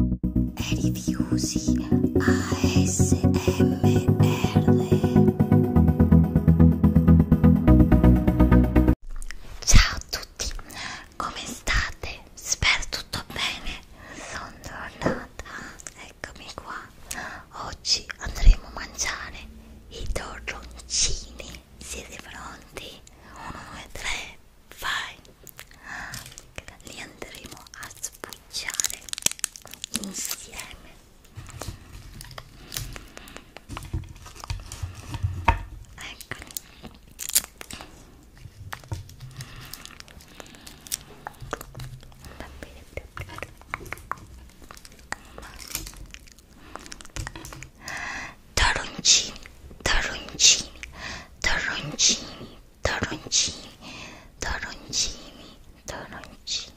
Rifiusi ASMR Ciao a tutti, come state? Spero tutto bene, sono tornata, eccomi qua. Oggi andremo a mangiare i torroncini. Siete pronti? 1, 2, 3 vai li andremo a sbucciare insieme eccoli va bene Taroncini, taroncini, torroncini, torroncini, torroncini, torroncini.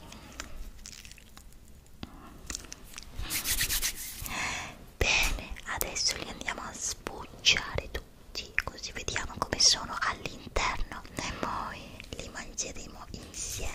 Bene, adesso li andiamo a sbucciare tutti, così vediamo come sono all'interno e poi li mangeremo insieme.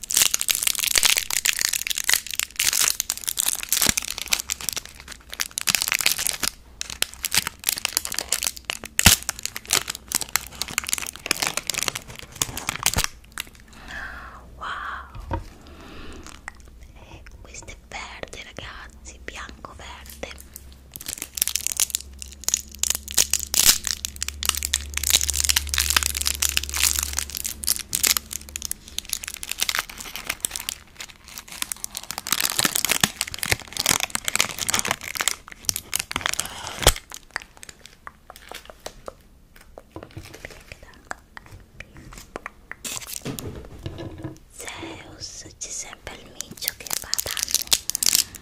Wow, eh, questo è verde, ragazzi, bianco verde. Zeus c'è sempre il miccio che va a danno Ah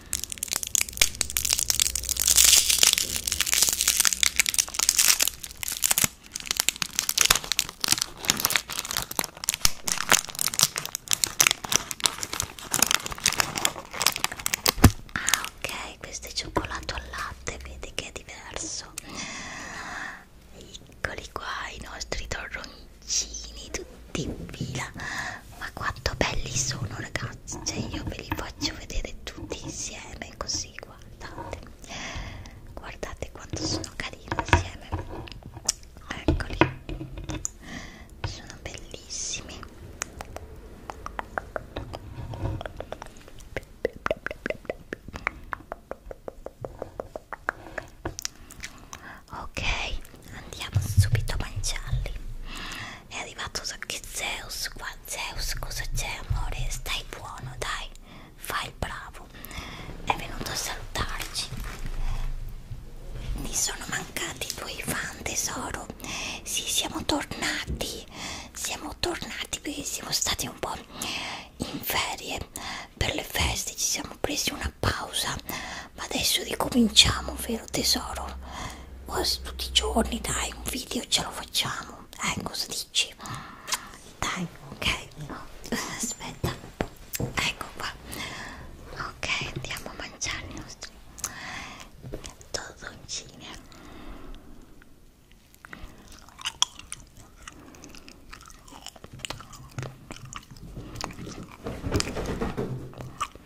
ok, questo è cioccolato al latte, vedi che è diverso. Eccoli qua i nostri torroncini tutti in fila ma quanto belli sono ragazzi cioè io ve li faccio vedere tutti insieme così guardate guardate quanto sono carini insieme eccoli sono bellissimi ok andiamo subito a mangiarli è arrivato so che Zeus qua Zeus cosa c'è amore stai buono dai fai il bravo è venuto a salutarci mi sono mancati i tuoi fan tesoro sì siamo tornati siamo tornati perché siamo stati un po' in ferie per le feste ci siamo presi una pausa ma adesso ricominciamo vero tesoro quasi tutti i giorni dai un video ce lo facciamo eh cosa dici dai ok aspetta ecco qua ok andiamo a mangiare i nostri torroncini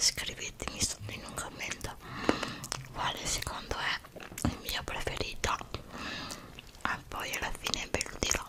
Scrivetemi sotto in un commento quale secondo è il mio preferito e ah, poi alla fine ve lo dirò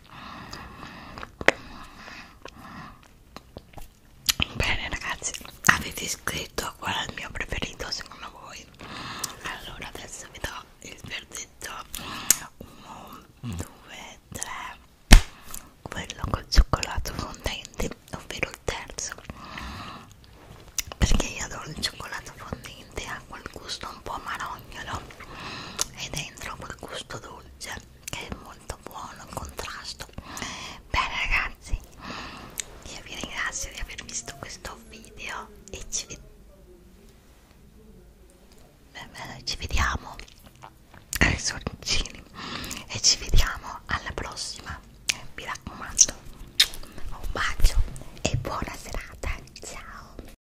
Bene ragazzi, avete scritto qual è il mio preferito secondo voi? Allora adesso vi do il verdetto 1, 2, 3 quello col cioccolato fondente, ovvero il terzo perché io adoro il cioccolato fondente ha quel gusto un po' marognolo e dentro quel gusto dolce che è molto buono il contrasto bene ragazzi io vi ringrazio di aver visto questo video e ci, ved beh, beh, ci vediamo ai sorcini e ci vediamo alla prossima mi raccomando un bacio e buona serata ciao